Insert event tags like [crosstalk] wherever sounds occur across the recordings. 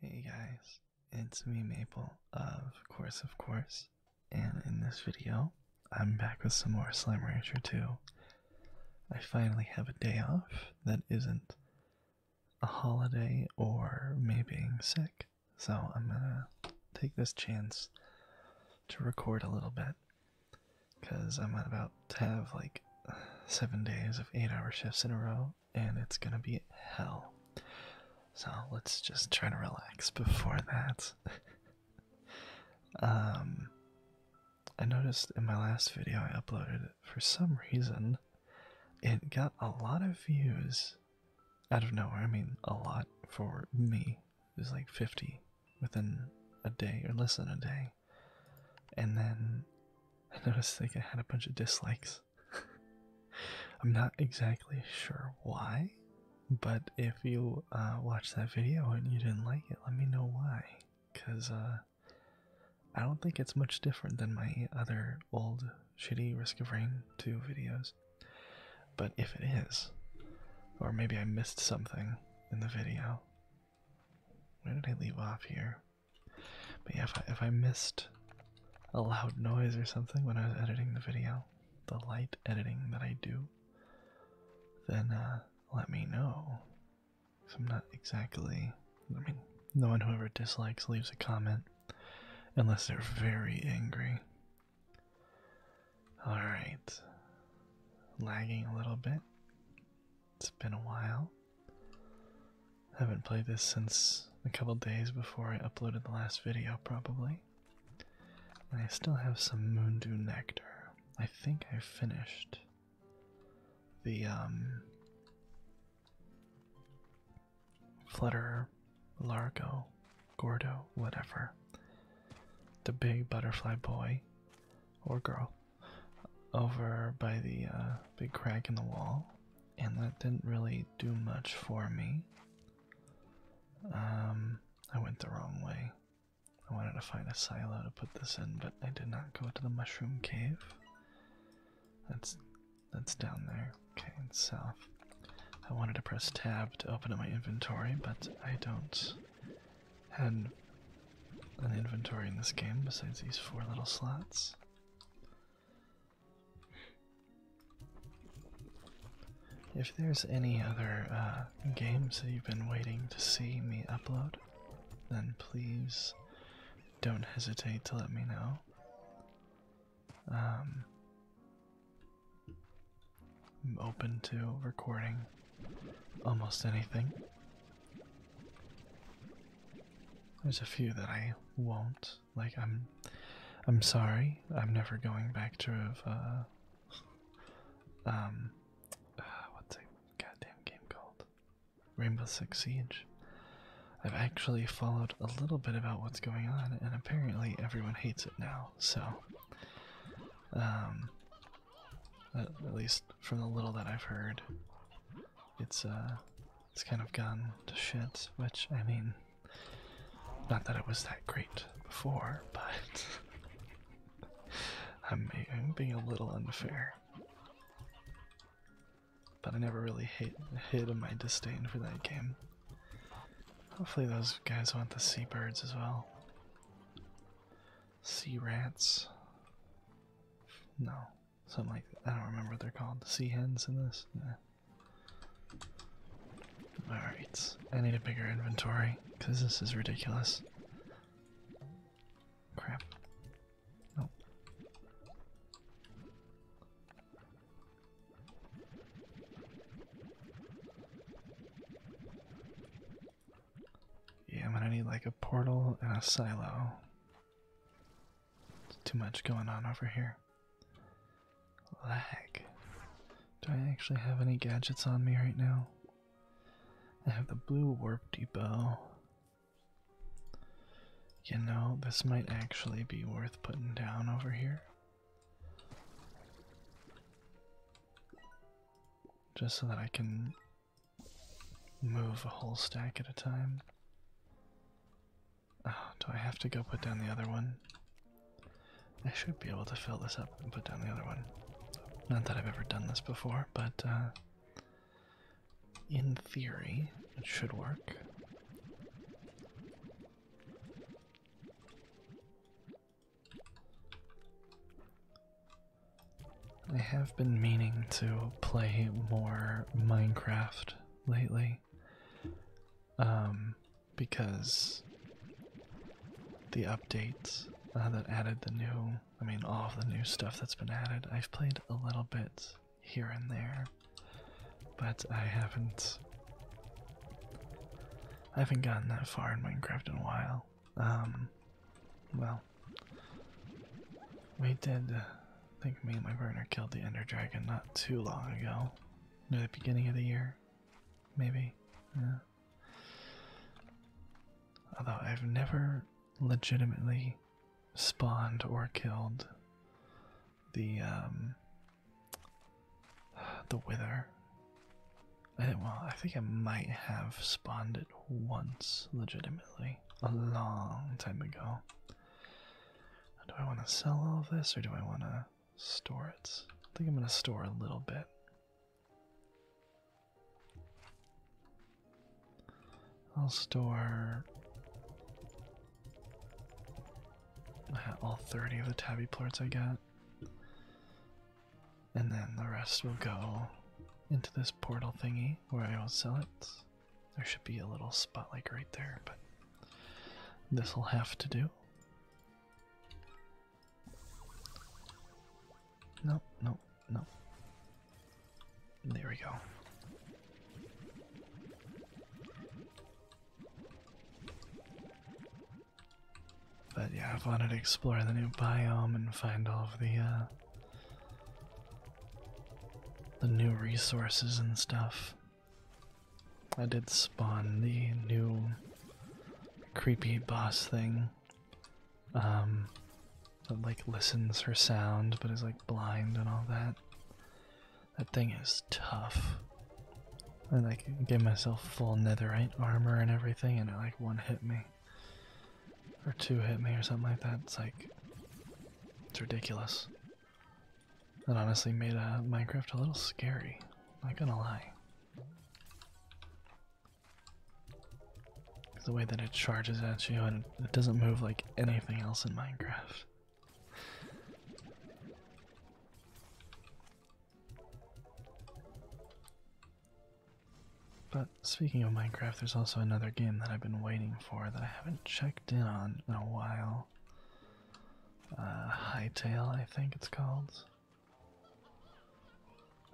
Hey guys, it's me Maple, of course, of course, and in this video, I'm back with some more Slime Rancher 2. I finally have a day off that isn't a holiday or me being sick, so I'm gonna take this chance to record a little bit, because I'm about to have like seven days of eight hour shifts in a row, and it's gonna be hell. So let's just try to relax before that. [laughs] um, I noticed in my last video I uploaded, for some reason, it got a lot of views out of nowhere. I mean, a lot for me. It was like 50 within a day or less than a day. And then I noticed like I had a bunch of dislikes. [laughs] I'm not exactly sure why, but if you uh, watched that video and you didn't like it, let me know why. Cause uh, I don't think it's much different than my other old shitty Risk of Rain 2 videos. But if it is, or maybe I missed something in the video. Where did I leave off here? But yeah, if I, if I missed a loud noise or something when I was editing the video, the light editing that I do, then uh, let me know. Cause I'm not exactly. I mean, no one who ever dislikes leaves a comment unless they're very angry. Alright. Lagging a little bit. It's been a while. I haven't played this since a couple days before I uploaded the last video, probably. I still have some Moondew Nectar. I think I finished the um, Flutter, Largo, Gordo, whatever. The big butterfly boy or girl over by the uh, big crack in the wall and that didn't really do much for me. Um, I went the wrong way. I wanted to find a silo to put this in, but I did not go to the mushroom cave. That's that's down there. Okay, and south. I wanted to press tab to open up my inventory, but I don't have an inventory in this game besides these four little slots. If there's any other uh, games that you've been waiting to see me upload, then please don't hesitate to let me know. Um, I'm open to recording almost anything. There's a few that I won't. Like I'm I'm sorry. I'm never going back to have uh um uh, what's a goddamn game called? Rainbow Six Siege. I've actually followed a little bit about what's going on and apparently everyone hates it now. So um at, at least from the little that I've heard it's uh it's kind of gone to shit, which, I mean, not that it was that great before, but [laughs] I'm, i being a little unfair. But I never really hate, hid my disdain for that game. Hopefully those guys want the seabirds as well. Sea rats? No, Something like I don't remember what they're called. The sea hens in this? Alright, I need a bigger inventory because this is ridiculous. Crap. Nope. Yeah, I'm gonna need like a portal and a silo too much going on over here. Lag. Do I actually have any gadgets on me right now? I have the blue warp depot. You know, this might actually be worth putting down over here. Just so that I can move a whole stack at a time. Oh, do I have to go put down the other one? I should be able to fill this up and put down the other one. Not that I've ever done this before, but uh, in theory, it should work. I have been meaning to play more Minecraft lately. Um, because the updates uh, that added the new, I mean, all of the new stuff that's been added, I've played a little bit here and there, but I haven't. I haven't gotten that far in Minecraft in a while. Um, well, we did I think me and my partner killed the Ender Dragon not too long ago. Near the beginning of the year, maybe. Although I've never legitimately spawned or killed the um, the wither. well, I think I might have spawned it once legitimately a long time ago. Do I want to sell all of this or do I want to store it? I think I'm going to store a little bit. I'll store all 30 of the tabby plorts I got. And then the rest will go into this portal thingy where I will sell it. There should be a little spotlight right there, but this'll have to do. No, no, no. There we go. But yeah, I've wanted to explore the new biome and find all of the uh, the new resources and stuff. I did spawn the new creepy boss thing. Um, that like listens for sound but is like blind and all that. That thing is tough. I like gave myself full netherite armor and everything, and it like one hit me. Or two hit me or something like that. It's like. It's ridiculous. That honestly made uh, Minecraft a little scary, not gonna lie. The way that it charges at you and it doesn't move like anything else in Minecraft. But speaking of Minecraft, there's also another game that I've been waiting for that I haven't checked in on in a while. Uh, Hightail, I think it's called.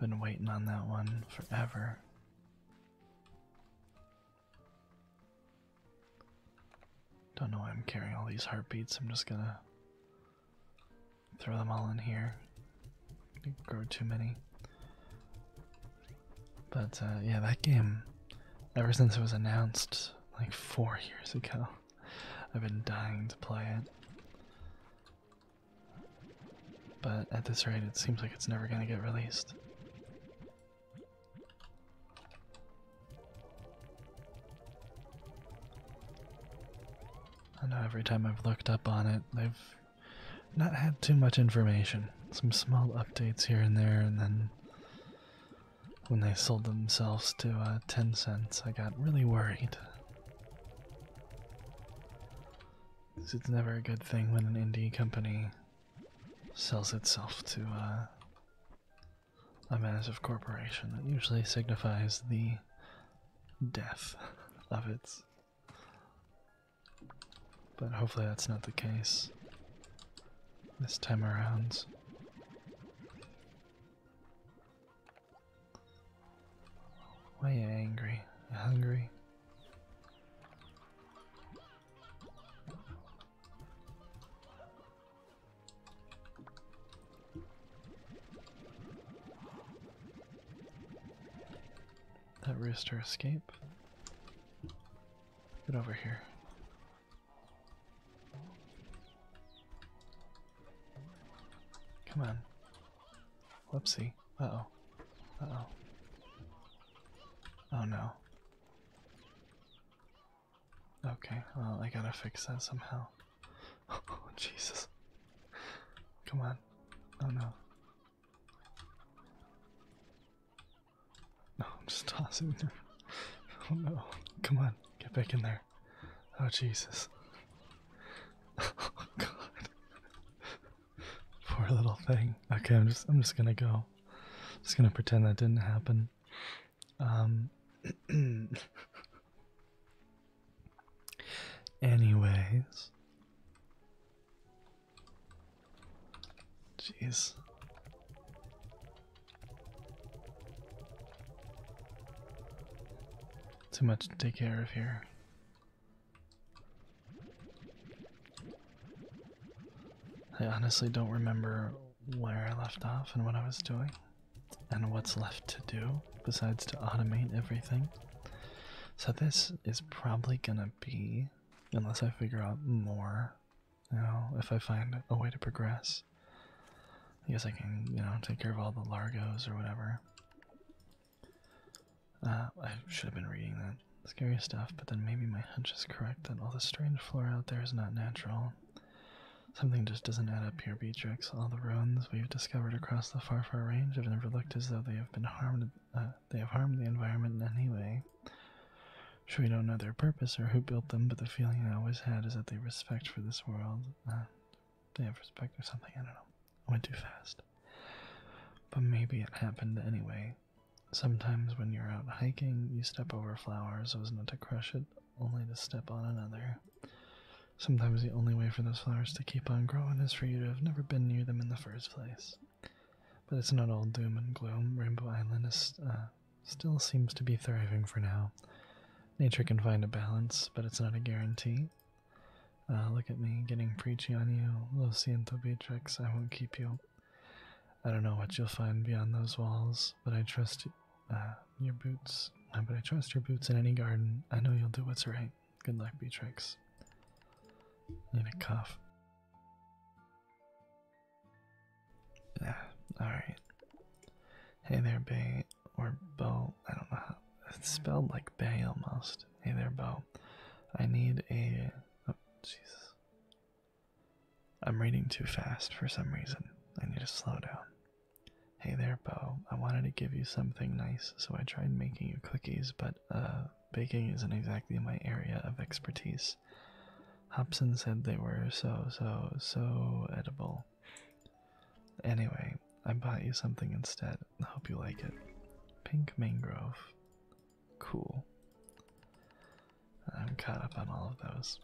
Been waiting on that one forever. Don't know why I'm carrying all these heartbeats, I'm just gonna throw them all in here. did grow too many. But uh, yeah, that game, ever since it was announced, like four years ago. I've been dying to play it. But at this rate, it seems like it's never gonna get released. I know every time I've looked up on it, i have not had too much information. Some small updates here and there, and then when they sold themselves to uh, 10 cents, I got really worried. It's never a good thing when an indie company sells itself to uh, a massive corporation. That usually signifies the death [laughs] of it, But hopefully that's not the case this time around. Why are you angry? You hungry? That rooster escape. Get over here. Come on. Whoopsie. oh. oh. Oh no. Okay, well, I gotta fix that somehow. [laughs] Oh, Jesus. Come on. Oh no. No, I'm just tossing him. Oh no. Come on, get back in there. Oh Jesus. [laughs] Oh, god. Poor little thing. Okay, I'm just I'm just gonna go. just gonna pretend that didn't happen. Um [clears throat] Anyways. Jeez. Too much to take care of here. I honestly don't remember where I left off and what I was doing, and what's left to do besides to automate everything. So, this is probably gonna be, unless I figure out more you know, if I find a way to progress. I guess I can, you know, take care of all the Largos or whatever. Uh, I should have been reading that scary stuff, but then maybe my hunch is correct that all the strange flora out there is not natural. Something just doesn't add up here, Beatrix. All the ruins we've discovered across the far, far range have never looked as though they have been harmed. Uh, they have harmed the environment in any way. Sure, we don't know their purpose or who built them, but the feeling I always had is that they respect for this world. Uh, they have respect or something. I don't know. I went too fast. But maybe it happened anyway. Sometimes when you're out hiking, you step over flowers so as not to crush it, only to step on another. Sometimes the only way for those flowers to keep on growing is for you to have never been near them in the first place. But it's not all doom and gloom. Rainbow Island is uh, still seems to be thriving for now. Nature can find a balance, but it's not a guarantee. Uh, look at me getting preachy on you. Lo siento, Beatrix, I won't keep you. I don't know what you'll find beyond those walls, but I trust uh, your boots. Uh, but I trust your boots in any garden. I know you'll do what's right. Good luck, Beatrix. Need a cuff. Ah, [sighs] Alright. Hey there, Bay, or Bo. I don't know how. It's spelled like Bay almost. Hey there, Bo. I need a. Oh, Jesus. I'm reading too fast for some reason. I need to slow down. Hey there, Bo. I wanted to give you something nice, so I tried making you cookies, but, uh, baking isn't exactly my area of expertise. Hobson said they were so, so, so edible. Anyway, I bought you something instead. I hope you like it. Pink mangrove. Cool. I'm caught up on all of those.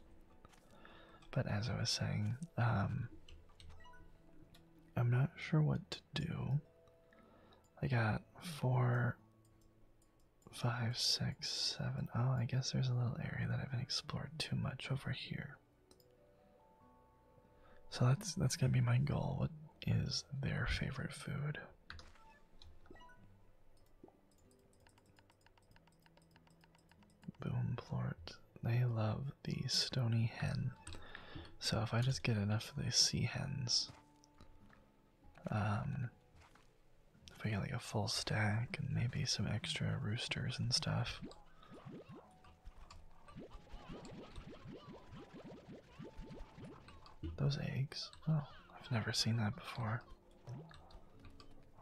But as I was saying, um, I'm not sure what to do. I got four, five, six seven. Oh, I guess there's a little area that I haven't explored too much over here. So that's that's gonna be my goal. What is their favorite food? Boom! Boomplort. They love the stony hen. So if I just get enough of the sea hens, um, if we get like a full stack and maybe some extra roosters and stuff. Those eggs? Oh, I've never seen that before.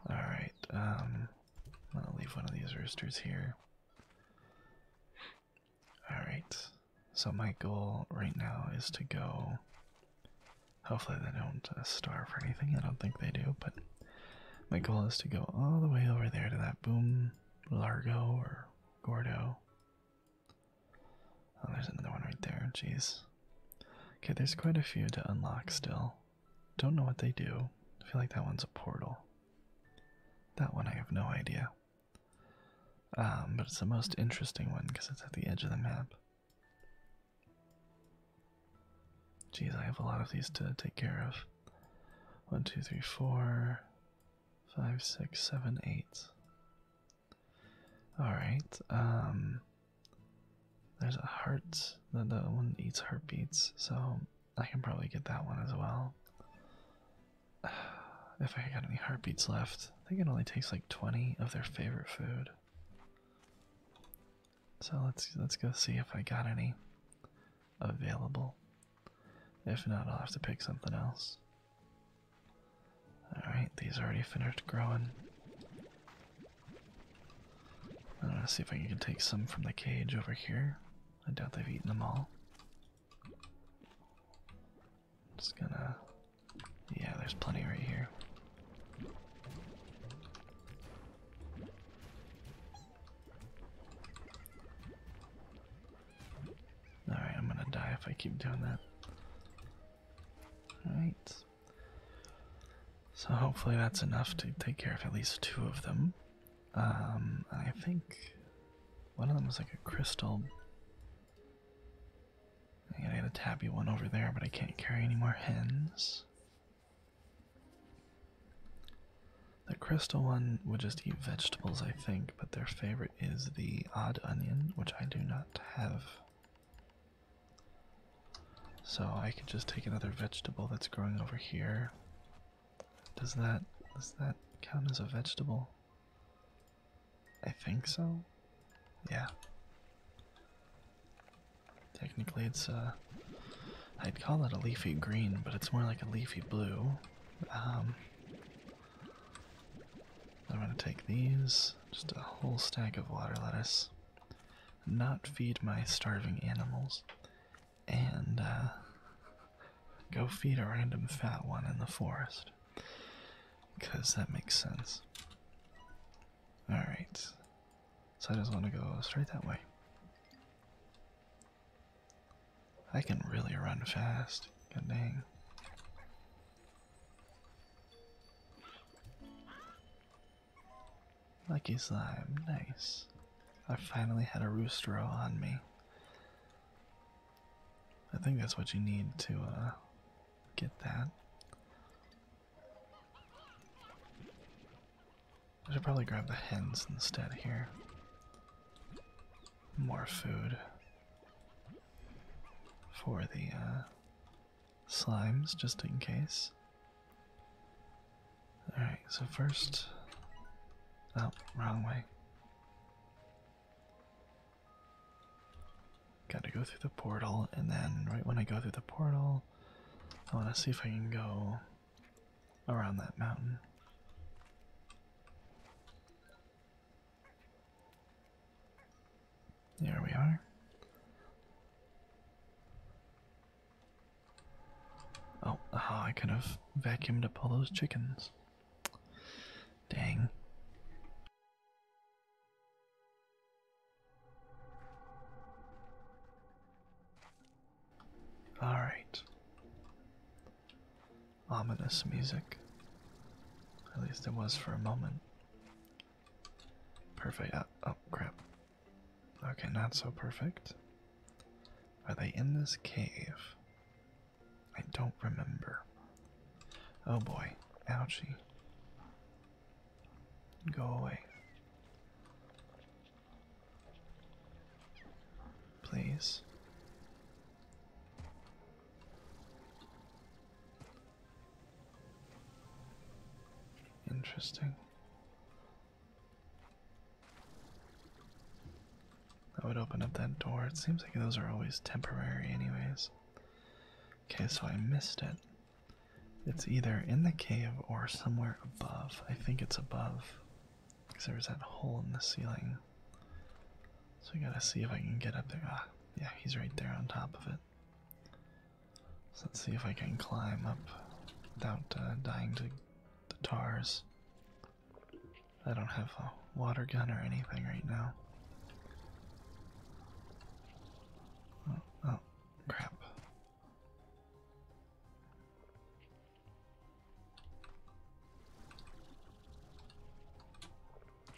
Alright, um, I'm gonna leave one of these roosters here. Alright, so my goal right now is to go. Hopefully, they don't uh, starve or anything. I don't think they do, but my goal is to go all the way over there to that boom largo or gordo. Oh, there's another one right there. Jeez. Okay, there's quite a few to unlock still. Don't know what they do. I feel like that one's a portal. That one I have no idea. Um, but it's the most interesting one because it's at the edge of the map. Jeez, I have a lot of these to take care of. One, two, three, four, five, six, seven, eight. Alright, um there's a heart that the one eats heartbeats, so I can probably get that one as well. [sighs] If I got any heartbeats left, I think it only takes like 20 of their favorite food. So let's let's go see if I got any available. If not, I'll have to pick something else. Alright, these already finished growing. I'm see if I can take some from the cage over here. I doubt they've eaten them all. just gonna. Yeah, there's plenty right here. Alright, I'm gonna die if I keep doing that. Alright. So hopefully that's enough to take care of at least two of them. Um, I think one of them was like a crystal. I got a tabby one over there, but I can't carry any more hens. The crystal one would just eat vegetables, I think, but their favorite is the odd onion, which I do not have. So I could just take another vegetable that's growing over here. Does that does that count as a vegetable? I think so. Yeah. Technically, it's a. Uh, I'd call it a leafy green, but it's more like a leafy blue. Um, I'm gonna take these, just a whole stack of water lettuce. Not feed my starving animals, and uh, go feed a random fat one in the forest. Because that makes sense. Alright, so I just want to go straight that way. I can really run fast. Good dang. Lucky slime, nice. I finally had a roostero on me. I think that's what you need to uh, get that. I should probably grab the hens instead here. More food for the uh, slimes, just in case. Alright, so first. Oh, wrong way. Gotta go through the portal, and then right when I go through the portal, I want to see if I can go around that mountain. There we are. Oh, I kind of vacuumed up all those chickens. Dang. Alright. Ominous music. At least it was for a moment. Perfect. Uh, oh, crap. Okay, not so perfect. Are they in this cave? I don't remember. Oh boy. Ouchie. Go away. Please. Interesting. I would open up that door. It seems like those are always temporary, anyways. Okay, so I missed it. It's either in the cave or somewhere above. I think it's above. Because there was that hole in the ceiling. So I gotta see if I can get up there. Ah, yeah, he's right there on top of it. So let's see if I can climb up without uh, dying to the tars. I don't have a water gun or anything right now. oh, oh crap.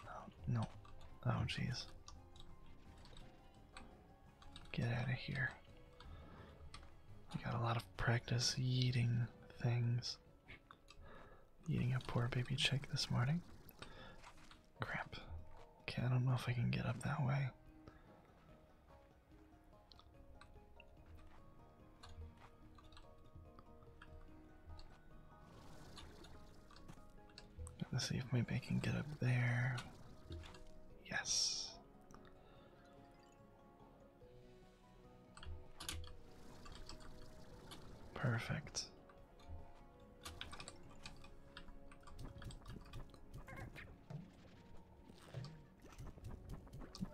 Oh, no. Oh, jeez. Get out of here. I got a lot of practice eating things. Eating a poor baby chick this morning. Crap. Okay, I don't know if I can get up that way. Let's see if maybe I can get up there. Yes. Perfect.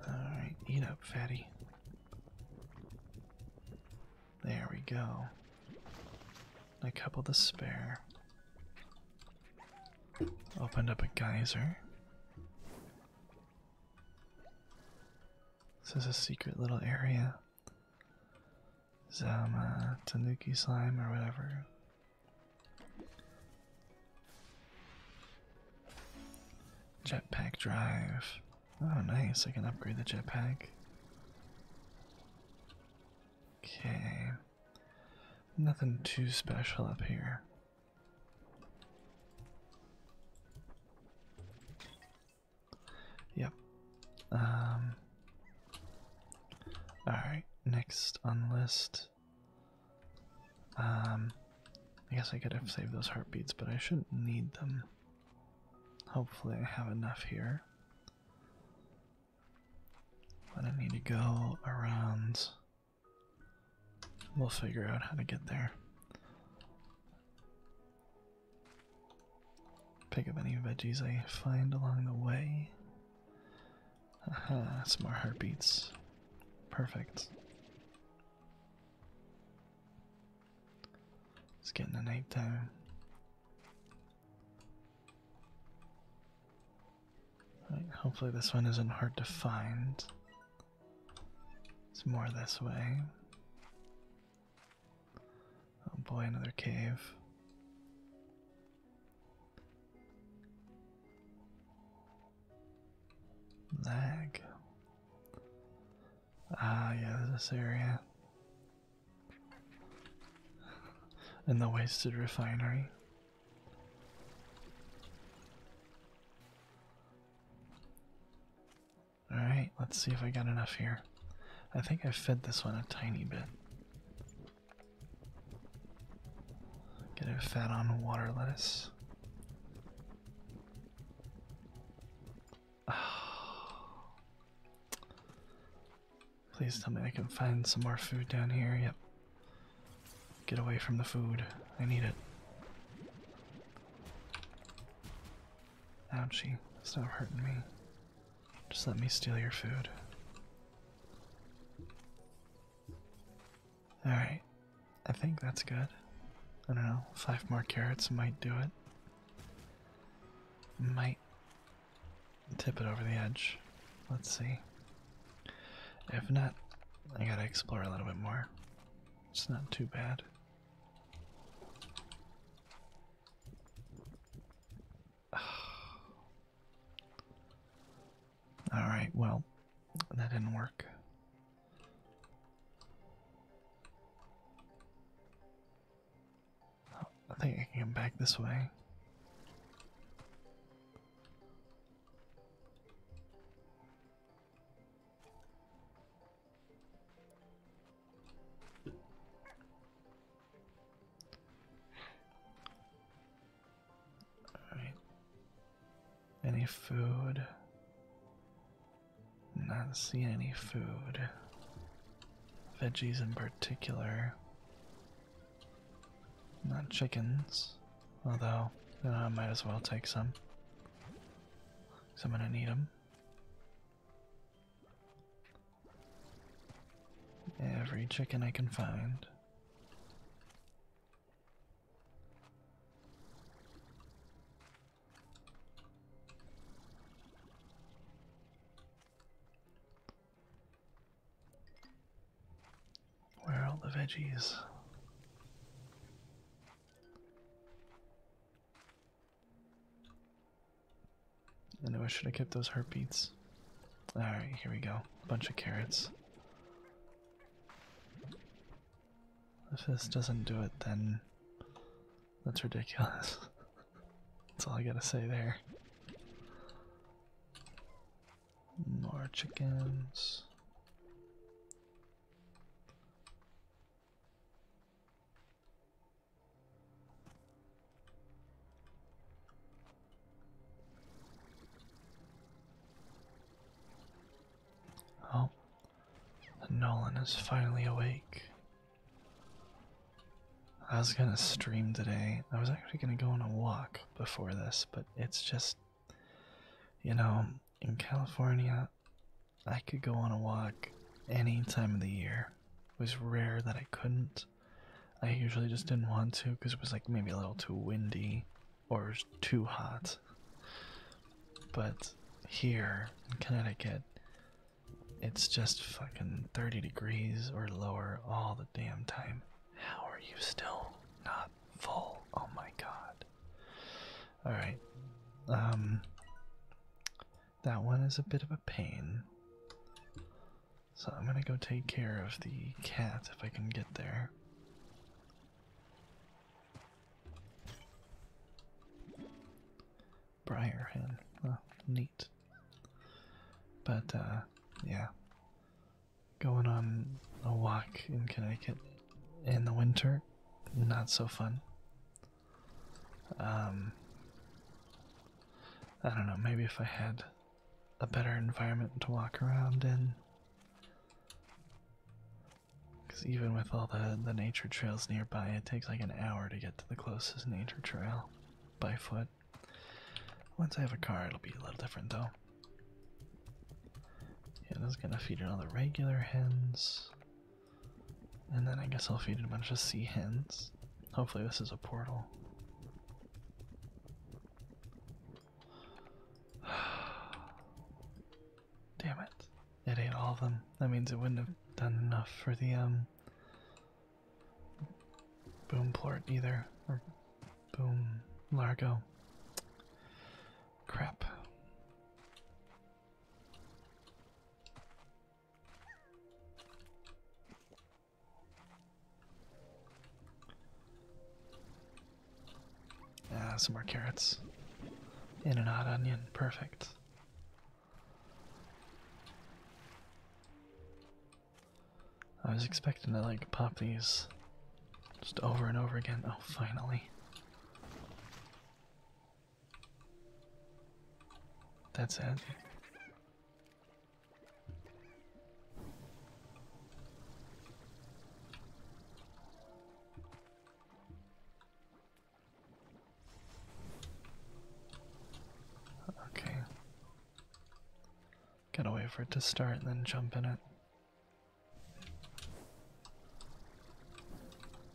Alright, eat up, fatty. There we go. A couple to spare. Opened up a geyser. This is a secret little area. Zama tanuki slime or whatever. Jetpack drive. Oh, nice. I can upgrade the jetpack. Okay. Nothing too special up here. Yep. Um, Alright, next on the list um, I guess I could have saved those heartbeats, but I shouldn't need them. Hopefully, I have enough here. I don't need to go around. We'll figure out how to get there. Pick up any veggies I find along the way. Aha, some more heartbeats. Perfect. It's getting the night time. hopefully this one isn't hard to find. It's more this way. Oh boy, another cave. Lag. Ah, yeah, this area. And the wasted refinery. Alright, let's see if I got enough here. I think I fed this one a tiny bit. Get it fed on water lettuce. [sighs] Please tell me I can find some more food down here. Yep. Get away from the food. I need it. Don't Ouchie. Stop hurting me. Just let me steal your food. Alright. I think that's good. I don't know, five more carrots might do it. Might tip it over the edge. Let's see. If not, I gotta explore a little bit more. It's not too bad. [sighs] Alright, well, that didn't work. I think I can come back this way. All right. Any food? Not see any food. Veggies in particular. Not chickens, although I might as well take some. I'm gonna need them. Every chicken I can find. Where are all the veggies? I know I should have kept those heartbeats. Alright, here we go. Bunch of carrots. If this doesn't do it, then that's ridiculous. [laughs] that's all I gotta say there. More chickens. Oh, Nolan is finally awake. I was gonna stream today. I was actually gonna go on a walk before this, but it's just, you know, in California, I could go on a walk any time of the year. It was rare that I couldn't. I usually just didn't want to because it was like maybe a little too windy or too hot. But here in Connecticut, it's just fucking 30 degrees or lower all the damn time. How are you still not full? Oh my god. Alright. Um. That one is a bit of a pain. So I'm gonna go take care of the cat if I can get there. Briar hen. neat. But, uh, yeah. Going on a walk in Connecticut in the winter, not so fun. Um, I don't know, maybe if I had a better environment to walk around in, because even with all the, the nature trails nearby, it takes like an hour to get to the closest nature trail by foot. Once I have a car, it'll be a little different though. Yeah, I is gonna feed it all the regular hens. And then I guess I'll feed it a bunch of sea hens. Hopefully, this is a portal. [sighs] Damn it. It ate all of them. That means it wouldn't have done enough for the um boom port either. Or boom largo. Crap. Ah, some more carrots. And an odd onion. Perfect. I was expecting to like pop these just over and over again. Oh, finally. That's it. Okay. Gotta wait for it to start and then jump in it.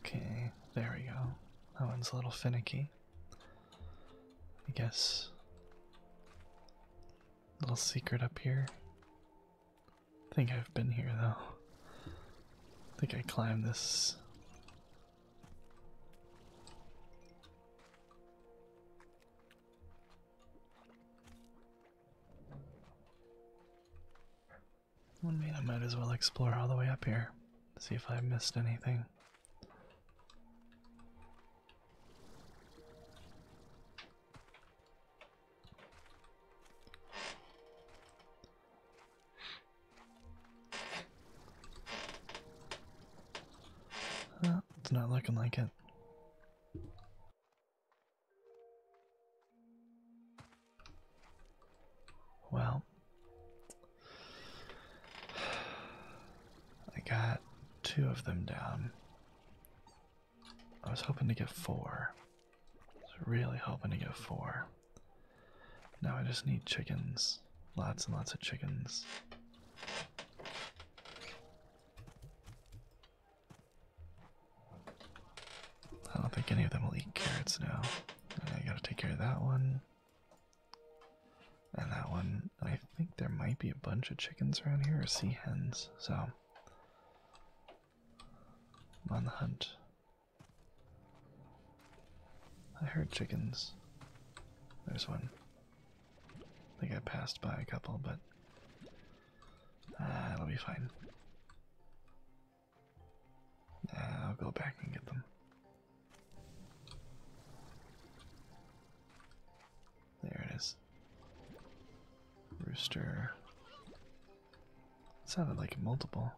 Okay, there we go. That one's a little finicky. I guess. Little secret up here. I think I've been here though. I think I climbed this. Well, I I might as well explore all the way up here, see if I missed anything. Uh, it's not looking like it. Well, I got two of them down. I was hoping to get four. I really hoping to get four. Now I just need chickens. Lots and lots of chickens. I don't think any of them will eat carrots now. I gotta take care of that one. And that one. I think there might be a bunch of chickens around here or sea hens, so on the hunt. I heard chickens. There's one. I think I passed by a couple, but uh, it'll be fine. Uh, I'll go back and get them. There it is. Rooster. sounded like multiple.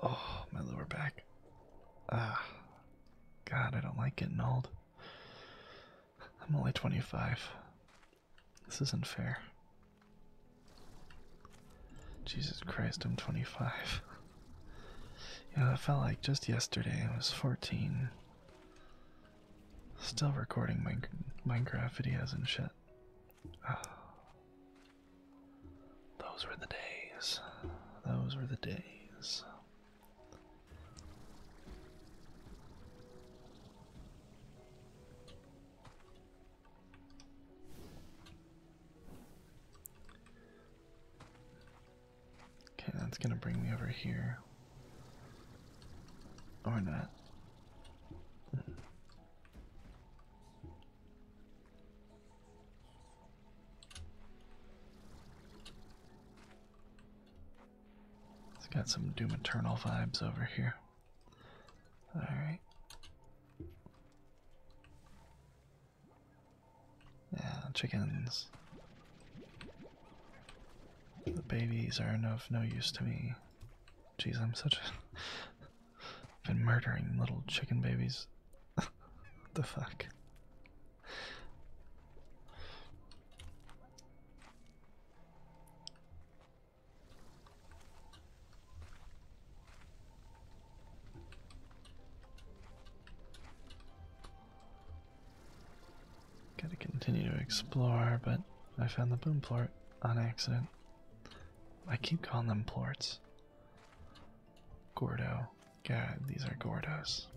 Oh, my lower back. Ah, God, I don't like getting old. I'm only 25. This isn't fair. Jesus Christ, I'm 25. you know, it felt like just yesterday I was 14. Still recording my Minecraft videos and shit. [sighs] Those were the days. Those were the days. Okay, that's gonna bring me over here. Or not. It's got some Doom Eternal vibes over here. Alright. Yeah, chickens. The babies are of no use to me. Jeez, I'm such a. I've been murdering little chicken babies. [laughs] the fuck? Gotta continue to explore, but I found the boom port on accident. I keep calling them plorts. Gordo. God, these are Gordos.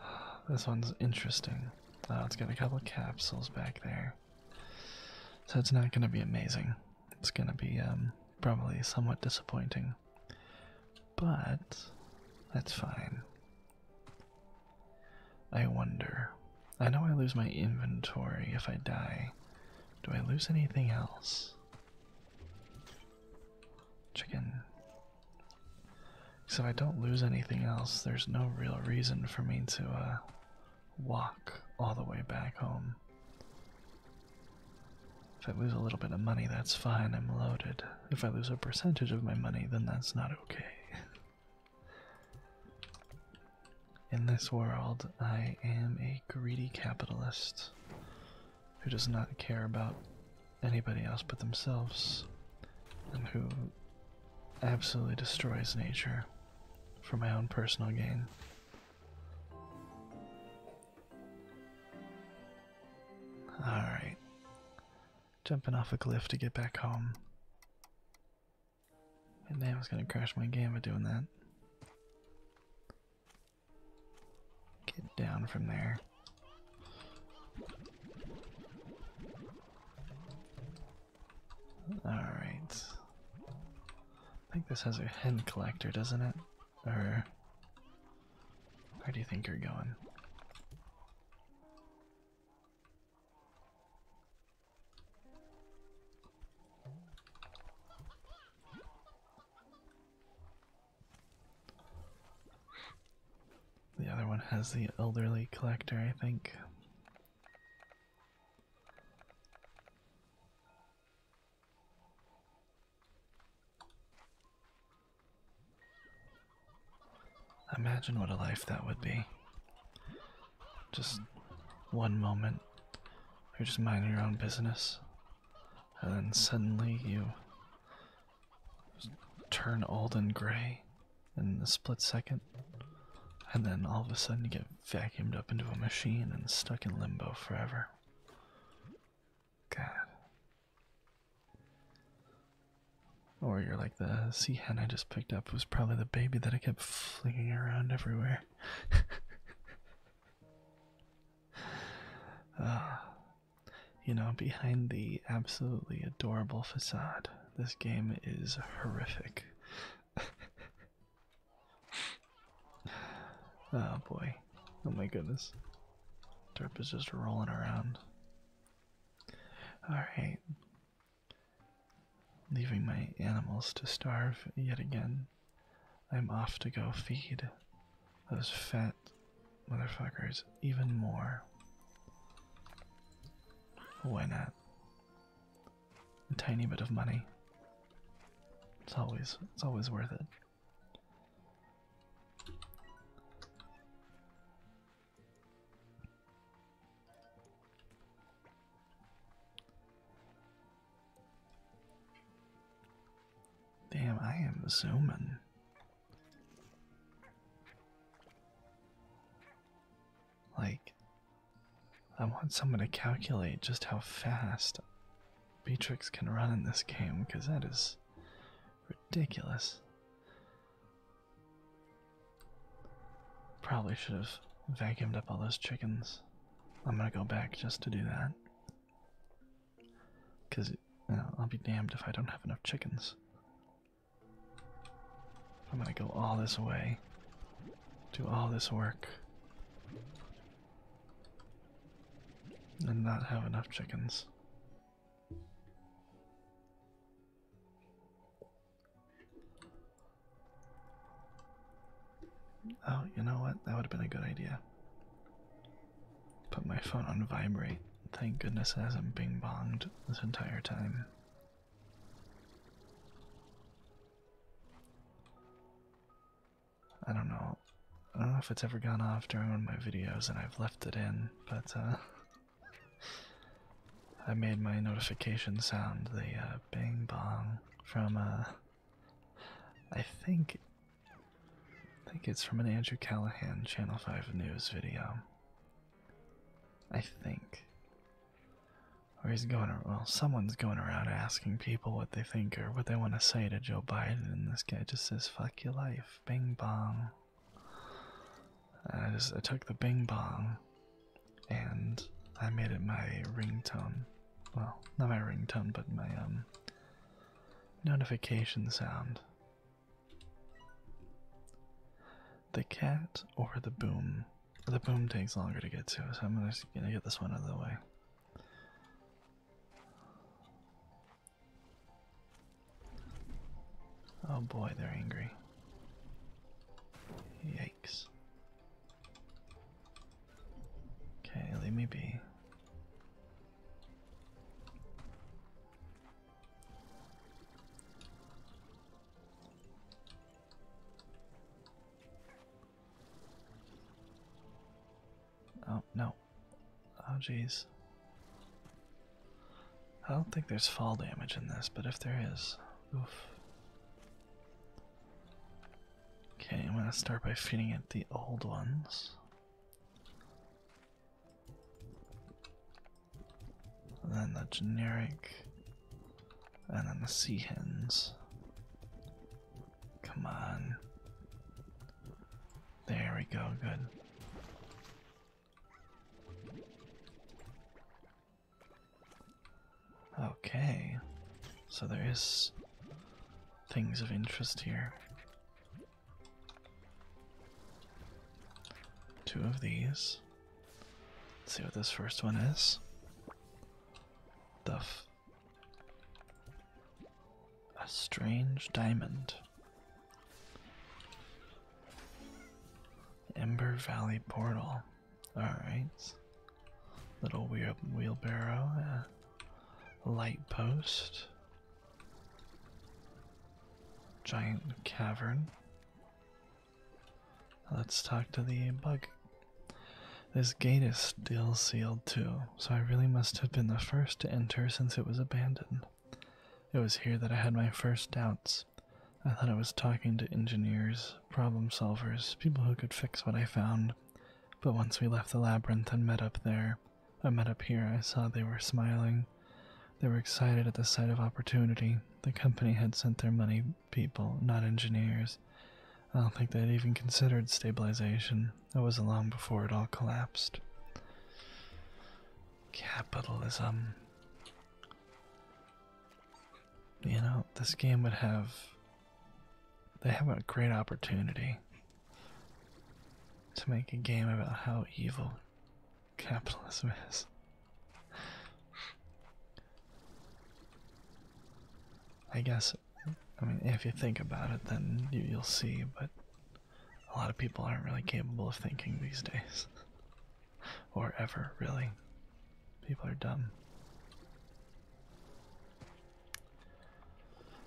[sighs] This one's interesting. Oh, it's got a couple capsules back there. So it's not gonna be amazing. It's gonna be um, probably somewhat disappointing. But that's fine. I wonder. I know I lose my inventory if I die. Do I lose anything else? Chicken. So if I don't lose anything else, there's no real reason for me to uh, walk all the way back home. If I lose a little bit of money, that's fine, I'm loaded. If I lose a percentage of my money, then that's not okay. [laughs] In this world, I am a greedy capitalist who does not care about anybody else but themselves and who absolutely destroys nature for my own personal gain. Alright. Jumping off a cliff to get back home. And damn, it's gonna crash my game by doing that. Get down from there. Alright. I think this has a hen collector, doesn't it? Or. Where do you think you're going? The other one has the elderly collector, I think. Imagine what a life that would be. Just one moment, you're just minding your own business, and then suddenly you turn old and gray in a split second, and then all of a sudden you get vacuumed up into a machine and stuck in limbo forever. God. Or you're like the sea hen I just picked up was probably the baby that I kept flinging around everywhere. [laughs] Ah, you know, behind the absolutely adorable facade, this game is horrific. [laughs] oh boy. Oh my goodness. Derp is just rolling around. Alright. Leaving my animals to starve yet again. I'm off to go feed those fat motherfuckers even more. Why not? A tiny bit of money. It's always it's always worth it. Damn, I am zooming. Like, I want someone to calculate just how fast Beatrix can run in this game, because that is ridiculous. Probably should have vacuumed up all those chickens. I'm gonna go back just to do that. Because I'll be damned if I don't have enough chickens. I'm gonna go all this way, do all this work, and not have enough chickens. Oh, you know what? That would have been a good idea. Put my phone on vibrate. Thank goodness it hasn't bing bonged this entire time. I don't know. I don't know if it's ever gone off during one of my videos and I've left it in, but uh [laughs] I made my notification sound the uh, bang bang from uh, I think I think it's from an Andrew Callahan Channel 5 news video. I think. Or he's going well, someone's going around asking people what they think or what they want to say to Joe Biden and this guy just says fuck your life. bang bang. I took the Bing Bong and I made it my ringtone. Well, not my ringtone, but my um, notification sound. The cat or the boom? The boom takes longer to get to, so I'm gonna get this one out of the way. Oh boy, they're angry. Yikes. Okay, leave me be. Oh, no. Oh, jeez. I don't think there's fall damage in this, but if there is, oof. Okay, I'm gonna start by feeding it the old ones. then the generic. And then the sea hens. Come on. There we go, good. Okay, so there is things of interest here. Two of these. see what this first one is. The A strange diamond. Ember Valley Portal. Alright. Little wheel wheelbarrow. Uh, light post. Giant cavern. Let's talk to the bug. This gate is still sealed too, so I really must have been the first to enter since it was abandoned. It was here that I had my first doubts. I thought I was talking to engineers, problem solvers, people who could fix what I found. But once we left the labyrinth and met up there, I met up here, I saw they were smiling. They were excited at the sight of opportunity. The company had sent their money people, not engineers. I don't think they'd even considered stabilization. It was long before it all collapsed. Capitalism you know, this game would have. They have a great opportunity to make a game about how evil capitalism is. I guess, I mean, if you think about it, then you, will see, but a lot of people aren't really capable of thinking these days or ever, really. People are dumb.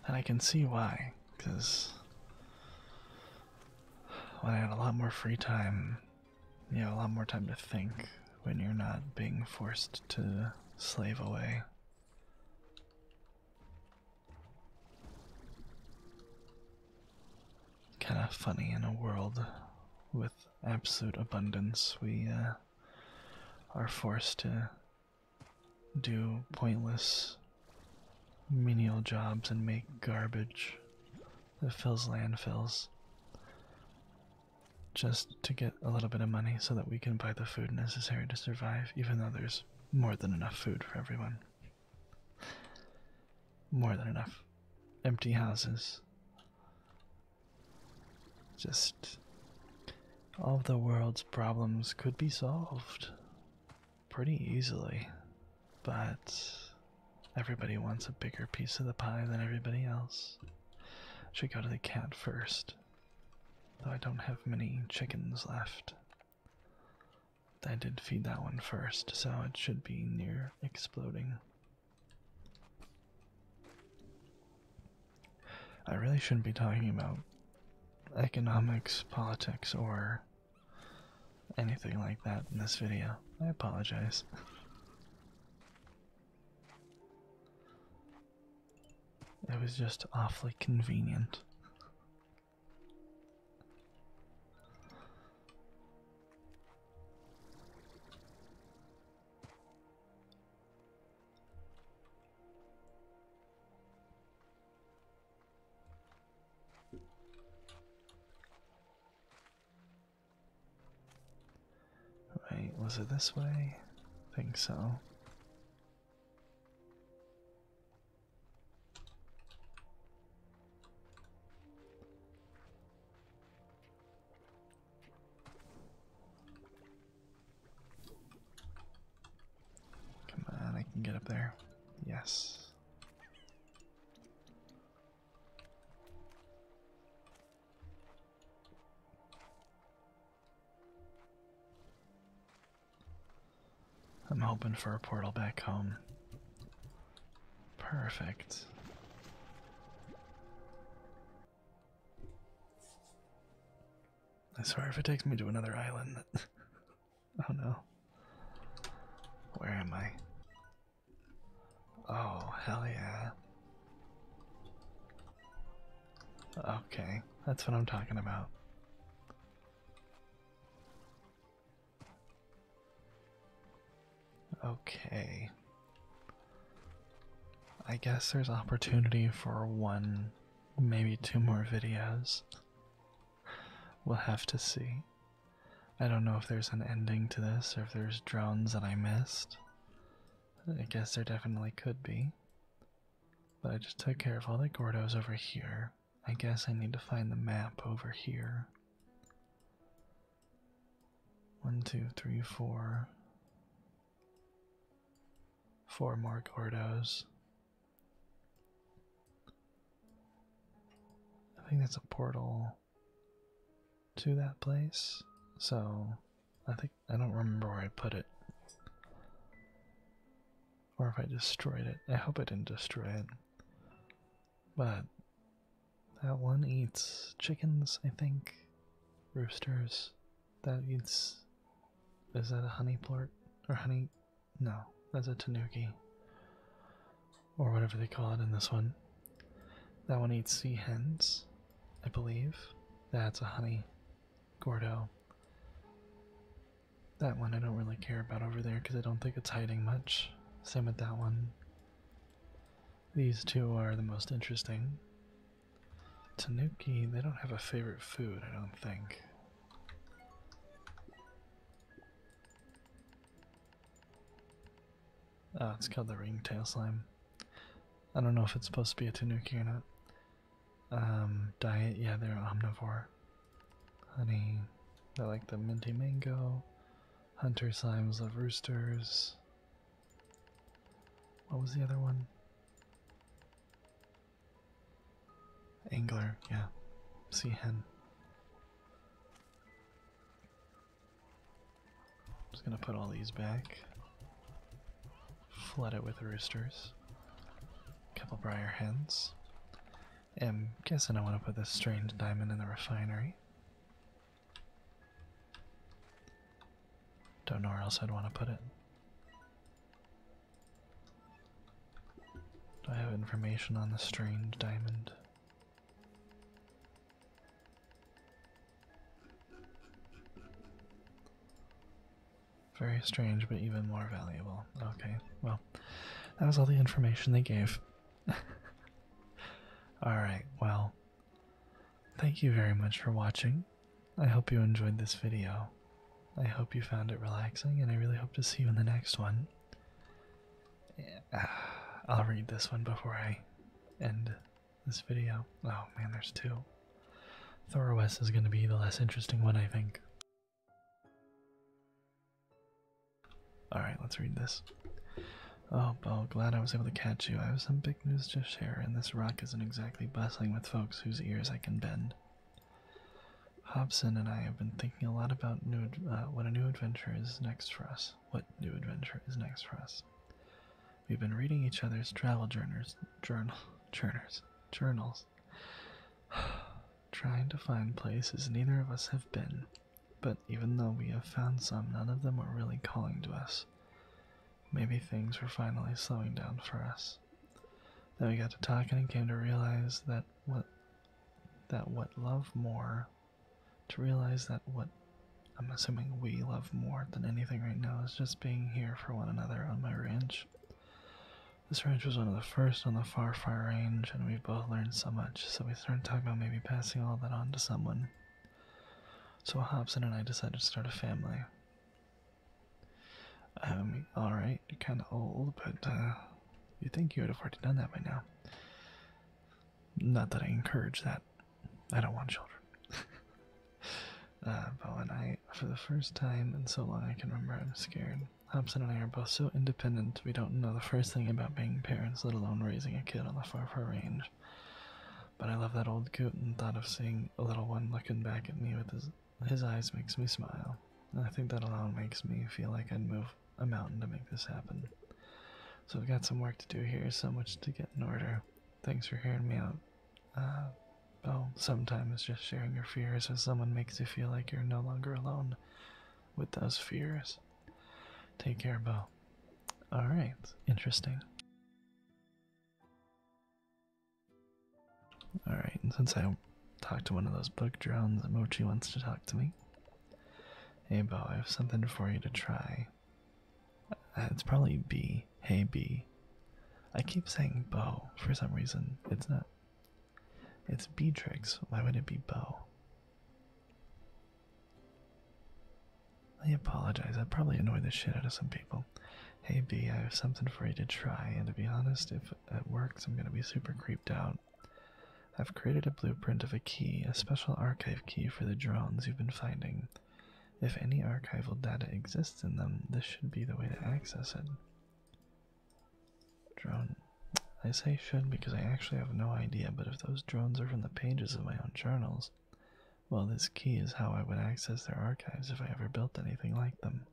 And I can see why, because when I have a lot more free time, you have a lot more time to think when you're not being forced to slave away. Kind of funny in a world with absolute abundance, we uh, are forced to do pointless menial jobs and make garbage that fills landfills just to get a little bit of money so that we can buy the food necessary to survive, even though there's more than enough food for everyone. More than enough empty houses just all the world's problems could be solved pretty easily, but everybody wants a bigger piece of the pie than everybody else. Should go to the cat first, though I don't have many chickens left. I did feed that one first, so it should be near exploding. I really shouldn't be talking about economics, politics, or anything like that in this video. I apologize. It was just awfully convenient. Right, was it this way? I think so. Come on, I can get up there. Yes. I'm hoping for a portal back home. Perfect. I swear if it takes me to another island. [laughs] oh no. Where am I? Oh, hell yeah. Okay, that's what I'm talking about. Okay. I guess there's opportunity for one, maybe two more videos. We'll have to see. I don't know if there's an ending to this or if there's drones that I missed. I guess there definitely could be. But I just took care of all the Gordos over here. I guess I need to find the map over here. One, two, three, four. Four more Gordos. I think that's a portal to that place. So I think I don't remember where I put it. Or if I destroyed it. I hope I didn't destroy it. But that one eats chickens, I think. Roosters. That eats. Is that a honey plort? Or honey. No, that's a tanuki. Or whatever they call it in this one. That one eats sea hens, I believe. That's a honey gordo. That one I don't really care about over there because I don't think it's hiding much. Same with that one. These two are the most interesting. Tanuki, they don't have a favorite food, I don't think. Oh, it's called the ringtail slime. I don't know if it's supposed to be a tanuki or not. Um, diet, yeah, they're omnivore. Honey, they like the minty mango. Hunter slimes love roosters. What was the other one? Angler, yeah. Sea hen. just gonna put all these back. Flood it with roosters. Couple briar hens. I'm guessing I want to put this strange diamond in the refinery. Don't know where else I'd want to put it. Do I have information on the strange diamond? Very strange, but even more valuable. Okay, well, that was all the information they gave. [laughs] Alright, well. Thank you very much for watching. I hope you enjoyed this video. I hope you found it relaxing, and I really hope to see you in the next one. [sighs] I'll read this one before I end this video. Oh man, there's two. Thoros is going to be the less interesting one, I think. Alright, let's read this. Oh, Bo, glad I was able to catch you. I have some big news to share, and this rock isn't exactly bustling with folks whose ears I can bend. Hobson and I have been thinking a lot about uh, what a new adventure is next for us. What new adventure is next for us? We've been reading each other's travel journals, [laughs] [sighs] trying to find places neither of us have been. But even though we have found some, none of them are really calling to us. Maybe things were finally slowing down for us. Then we got to talking and came to realize that what that what love more to realize that what I'm assuming we love more than anything right now is just being here for one another on my ranch. This ranch was one of the first on the far far range and we both learned so much, so we started talking about maybe passing all that on to someone. So Hobson and I decided to start a family. Um, alright, you're kinda old, but uh, you think you would have already done that by now. Not that I encourage that. I don't want children. [laughs] Uh, but when I, for the first time in so long I can remember, I'm scared. Hobson and I are both so independent, we don't know the first thing about being parents, let alone raising a kid on the far, far range. But I love that old coot and thought of seeing a little one looking back at me with his his eyes makes me smile. And I think that alone makes me feel like I'd move a mountain to make this happen. So I've got some work to do here, so much to get in order. Thanks for hearing me out. Uh, sometimes just sharing your fears with someone makes you feel like you're no longer alone with those fears. Take care, Bo. Alright, interesting. Alright, and since I talked to one of those bug drones, Mochi wants to talk to me. Hey, Bo, I have something for you to try. Uh, it's probably B. Hey, B. I keep saying Bo for some reason. It's not. It's Beatrix. Why would it be Bo? I apologize, I probably annoyed the shit out of some people. Hey B, I have something for you to try, and to be honest, if it works, I'm gonna be super creeped out. I've created a blueprint of a key, a special archive key for the drones you've been finding. If any archival data exists in them, this should be the way to access it. Drone. I say should because I actually have no idea, but if those drones are from the pages of my own journals, well, this key is how I would access their archives if I ever built anything like them.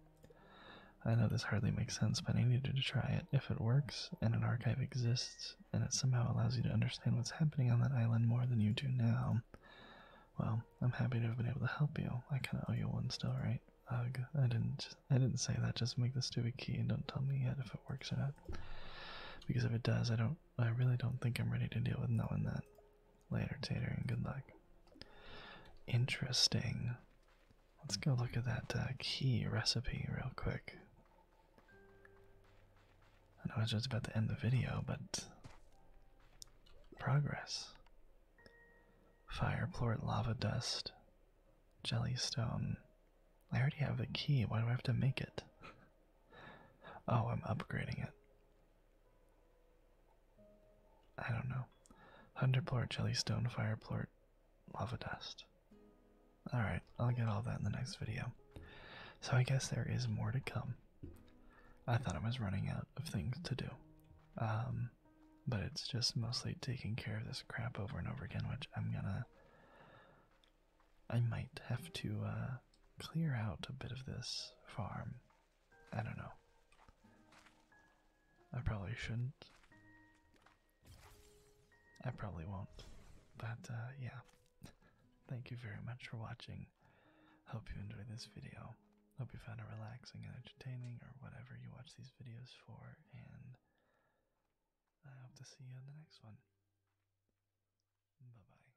I know this hardly makes sense, but I needed to try it. If it works, and an archive exists, and it somehow allows you to understand what's happening on that island more than you do now, well, I'm happy to have been able to help you. I kinda owe you one still, right? Ugh, I didn't I didn't say that, just make the stupid key and don't tell me yet if it works or not. Because if it does, I don't I really don't think I'm ready to deal with knowing that. Later, Taylor, and good luck. Interesting. Let's go look at that uh, key recipe real quick. I know I was just about to end the video, but. Progress. Fire, plort, lava dust, jelly stone. I already have the key. Why do I have to make it? Oh, I'm upgrading it. I don't know. hundred Hunterplort, Jellystone, Fireplort, Lava Dust. Alright, I'll get all that in the next video. So I guess there is more to come. I thought I was running out of things to do. Um, but it's just mostly taking care of this crap over and over again, which I'm gonna. I might have to uh, clear out a bit of this farm I don't know. I probably shouldn't. I probably won't. But uh, yeah, [laughs] thank you very much for watching. Hope you enjoyed this video. Hope you found it relaxing and entertaining, or whatever you watch these videos for. And I hope to see you in the next one. Bye bye.